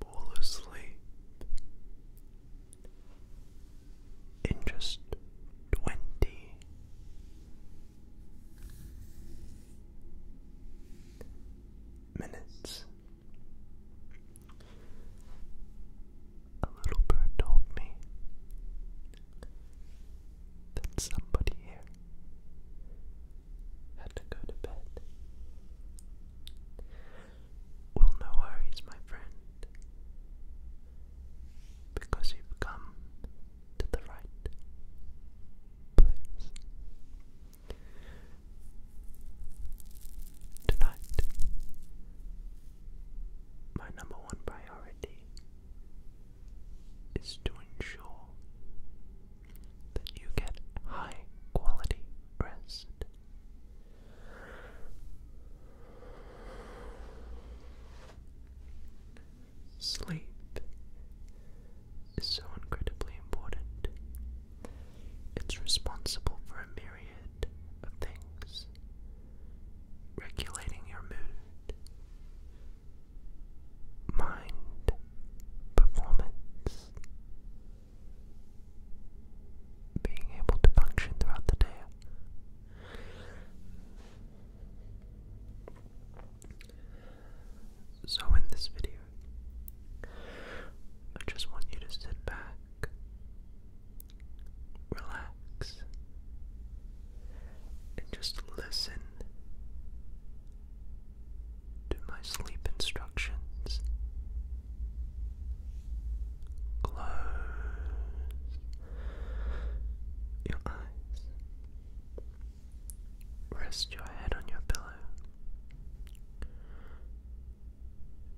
fall asleep in just twenty minutes. A little bird told me that somebody here had to go to bed. Well, no worries, my friend, because you've come to the right place. Tonight, my number one priority is to ensure that you get high quality rest. Sleep is so incredibly important. It's responsible for a myriad of things, regulating your mood, mind performance. Being able to function throughout the day. So, in this video, I just want you to sit back, relax, and just listen to my sleep instructions. Close your eyes. Rest your head on your pillow.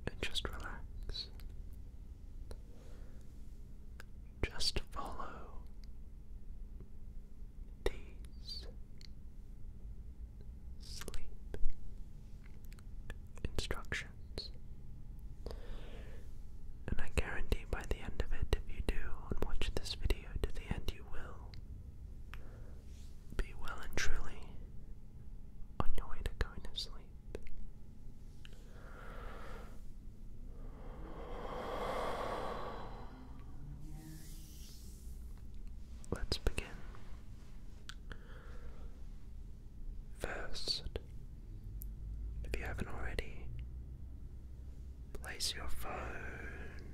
And just relax. Just follow days. Sleep instructions. And I guarantee by the end of it, if you do watch this video to the end, you will be well and truly on your way to going to sleep. Let's begin. First, if you haven't already, place your phone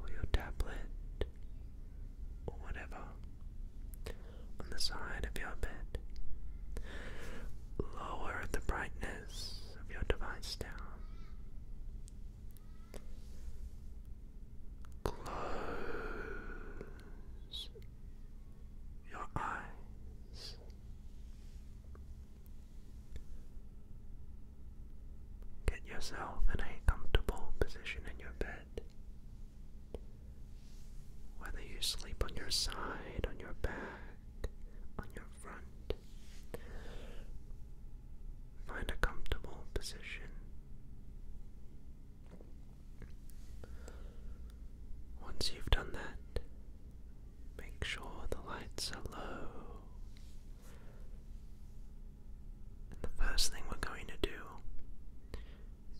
or your tablet or whatever on the side of your bed. Lower the brightness of your device down. Close your eyes. Get yourself in a comfortable position in your bed. Whether you sleep on your side, on your back, on your Find a comfortable position. Once you've done that, make sure the lights are low. the first thing we're going to do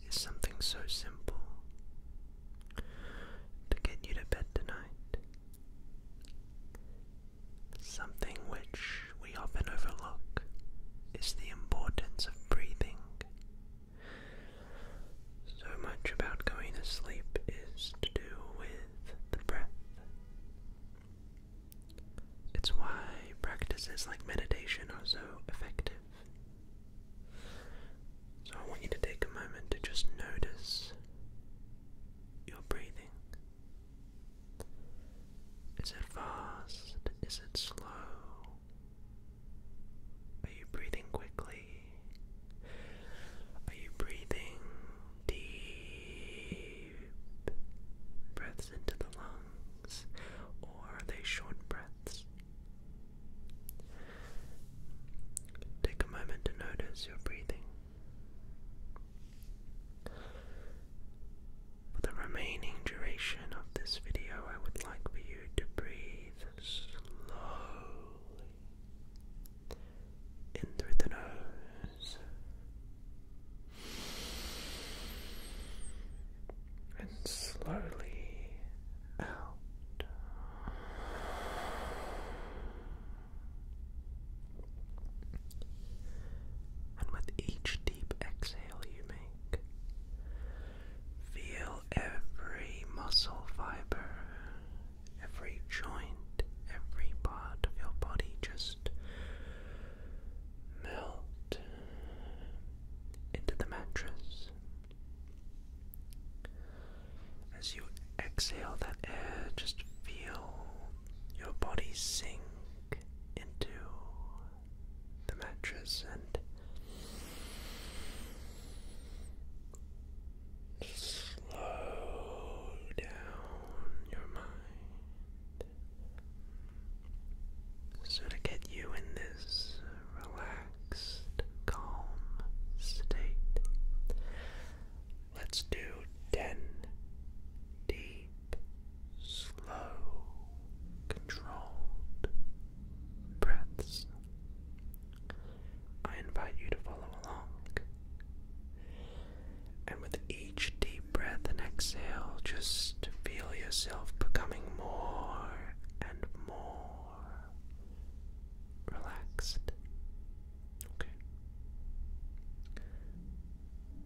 is something so simple to get you to bed tonight. Something which we often overlook is the importance of breathing. So much about going to sleep is to do with the breath. It's why practices like meditation are so effective. So I want you to take a moment to just notice your breathing. Is it fast? Is it slow? Are you breathing quickly? Are you breathing deep breaths into the lungs, or are they short breaths? Take a moment to notice your breathing. For the remaining duration of this video, I would like for you to breathe slowly in through the nose and slowly out. And with each deep exhale you make, feel every muscle fiber, every joint, every part of your body just melt into the mattress. As you exhale that air, just feel your body sink into the mattress and slow down your mind. So, to get you in this relaxed, calm state, Let's do 10 deep, slow, controlled breaths. I invite you to follow along. And with each deep breath and exhale, just feel yourself becoming more and more relaxed. Okay.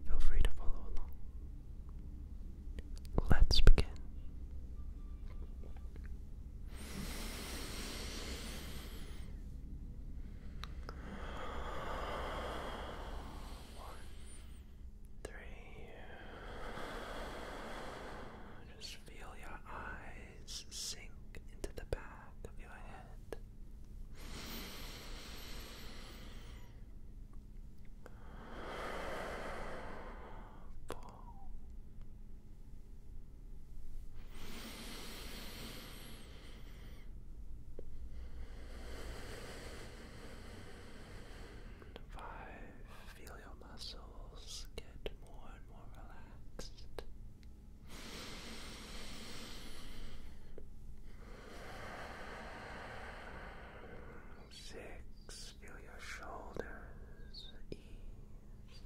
Feel free to follow along. Let's begin. One, three. Just feel your eyes sink into the back of your head. Five, feel your muscles get more and more relaxed. Six, feel your shoulders ease.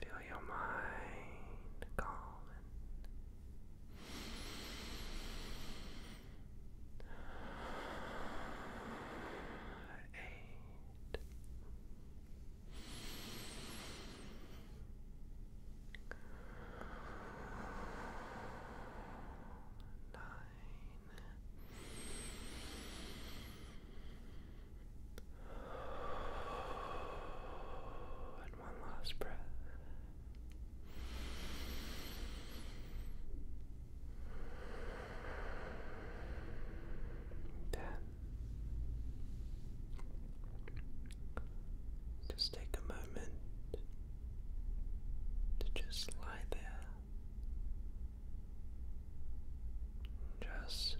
Feel your mind calm and and one last breath. Ten. Just take a moment to just lie there. Just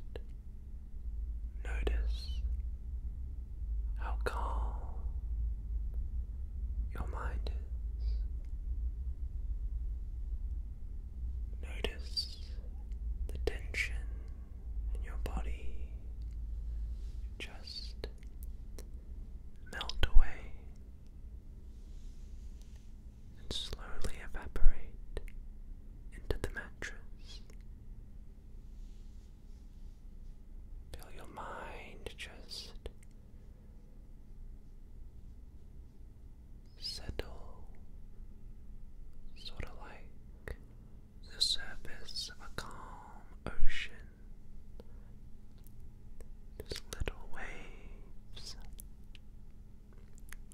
notice how calm your mind is. Notice the tension in your body just melt away and slowly evaporate into the mattress. Feel your mind just settle, sort of like the surface of a calm ocean. Just little waves.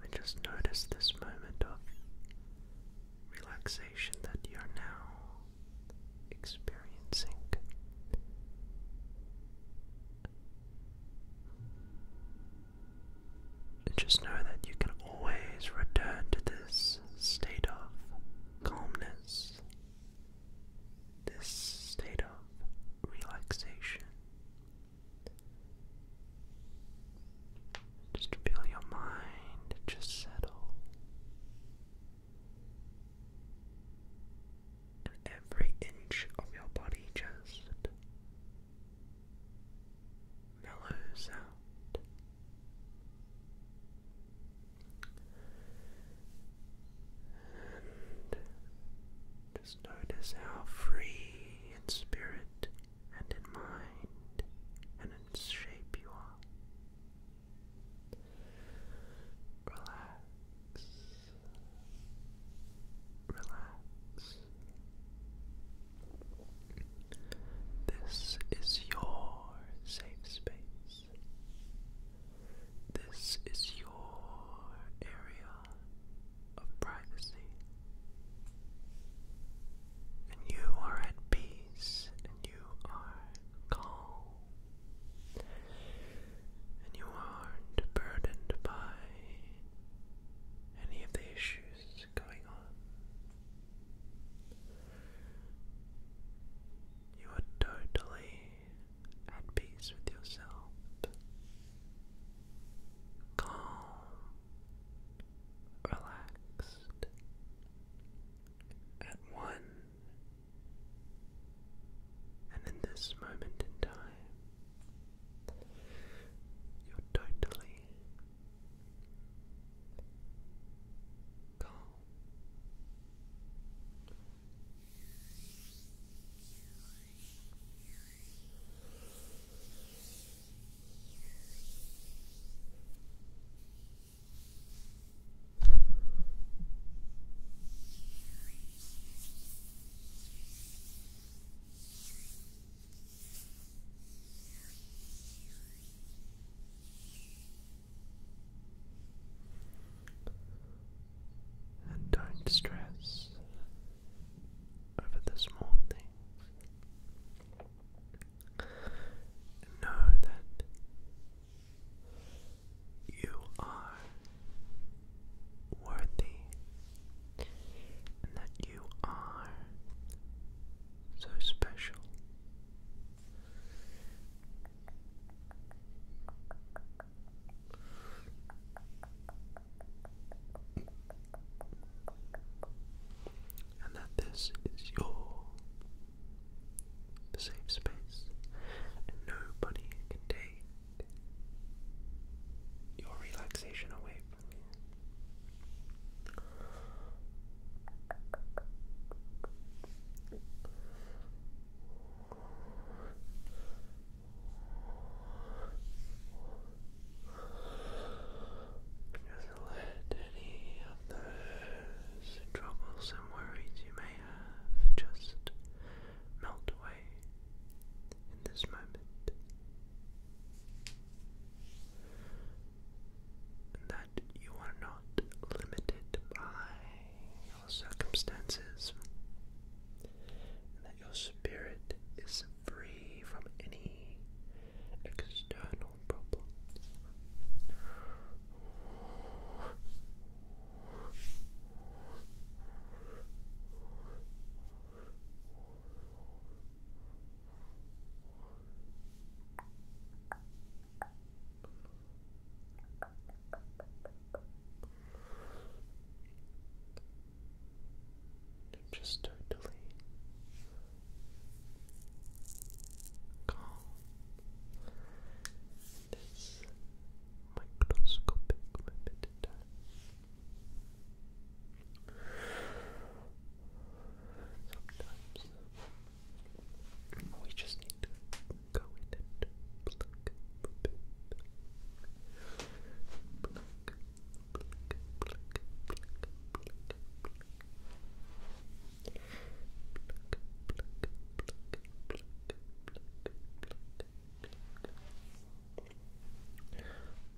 And just notice this moment of relaxation that you're now experiencing just know that you can always return to this state of calmness, this state of relaxation. Just feel your mind just settle. And every inch of your body just mellow sound. just notice how free in spirit and in mind and in shape you are. Relax relax. This is your safe space. This is your area of privacy. And you are at peace and you are calm. And you aren't burdened by any of the issues going on. You are totally at peace with yourself, calm, relaxed, at one, and in this moment in time, you're totally calm. you and don't stress over the small things. Know that you are worthy and that you are so special. And that this is your safe space, and nobody can take your relaxation away from you. let any of those troublesome worries you may have just melt away in this moment. that you are not limited by your circumstances, and that your spirit is free from any external problems. They're just totally calm. This microscopic repetitive Sometimes we just need to go in and pluck, pluck, pluck, pluck, pluck, pluck, pluck.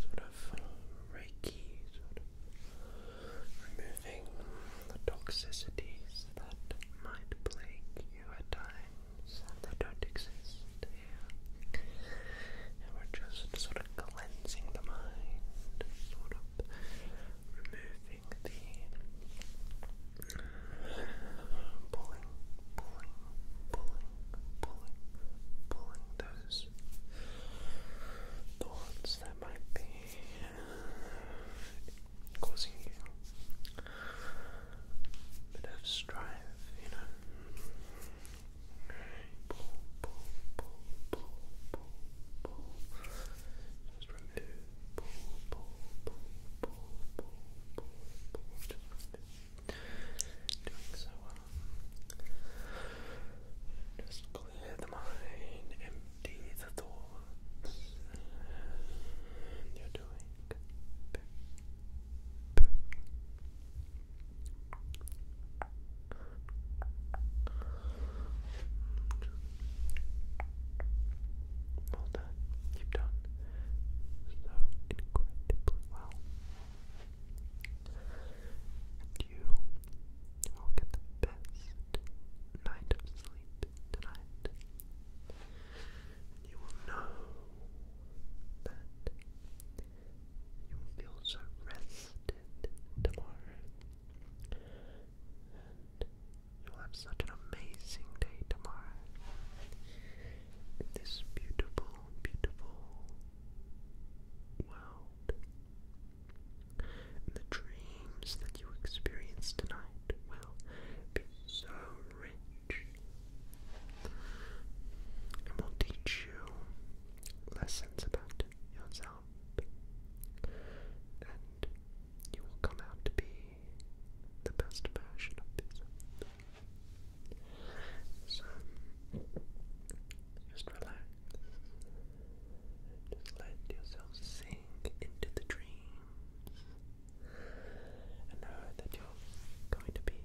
sort of reiki, removing the toxicities that might plague you at times and don't exist And we're just sort of cleansing the mind, sort of removing the pulling, pulling those thoughts that might be causing you a bit of strife, you know. Pull, pull, pull, pull, pull, pull. Just remove, pull, pull, pull, pull, pull, pull, Just remove doing so well. Just clear the mind, empty the thoughts, you're doing perfect. perfect. Well done. you so incredibly well. And you will get the best night of sleep tonight. And you will know that you will feel so rested tomorrow. And you'll have such an amazing day tomorrow. This beautiful, beautiful world. the dreams that you experience tonight will be so rich and will teach you lessons about yourself. And you will come out to be the best version of yourself. So just relax. Just let yourself sink into the dreams. And know that you're going to be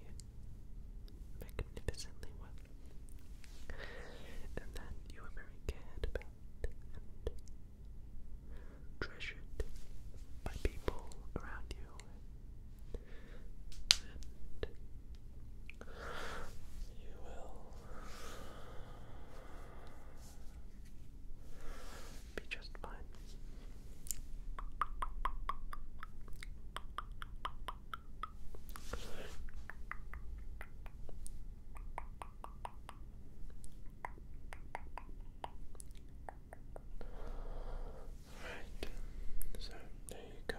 magnificently well. And that you are very cared about and treasured by people around you and you will be just fine. Right, so there you go.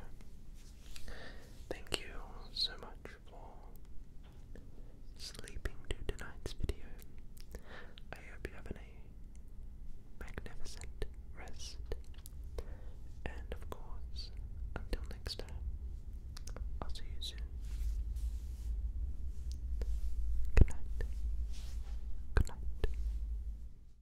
Thank you so much for sleeping to tonight's video. I hope you're having a magnificent rest. And of course, until next time, I'll see you soon. Good night. Good night.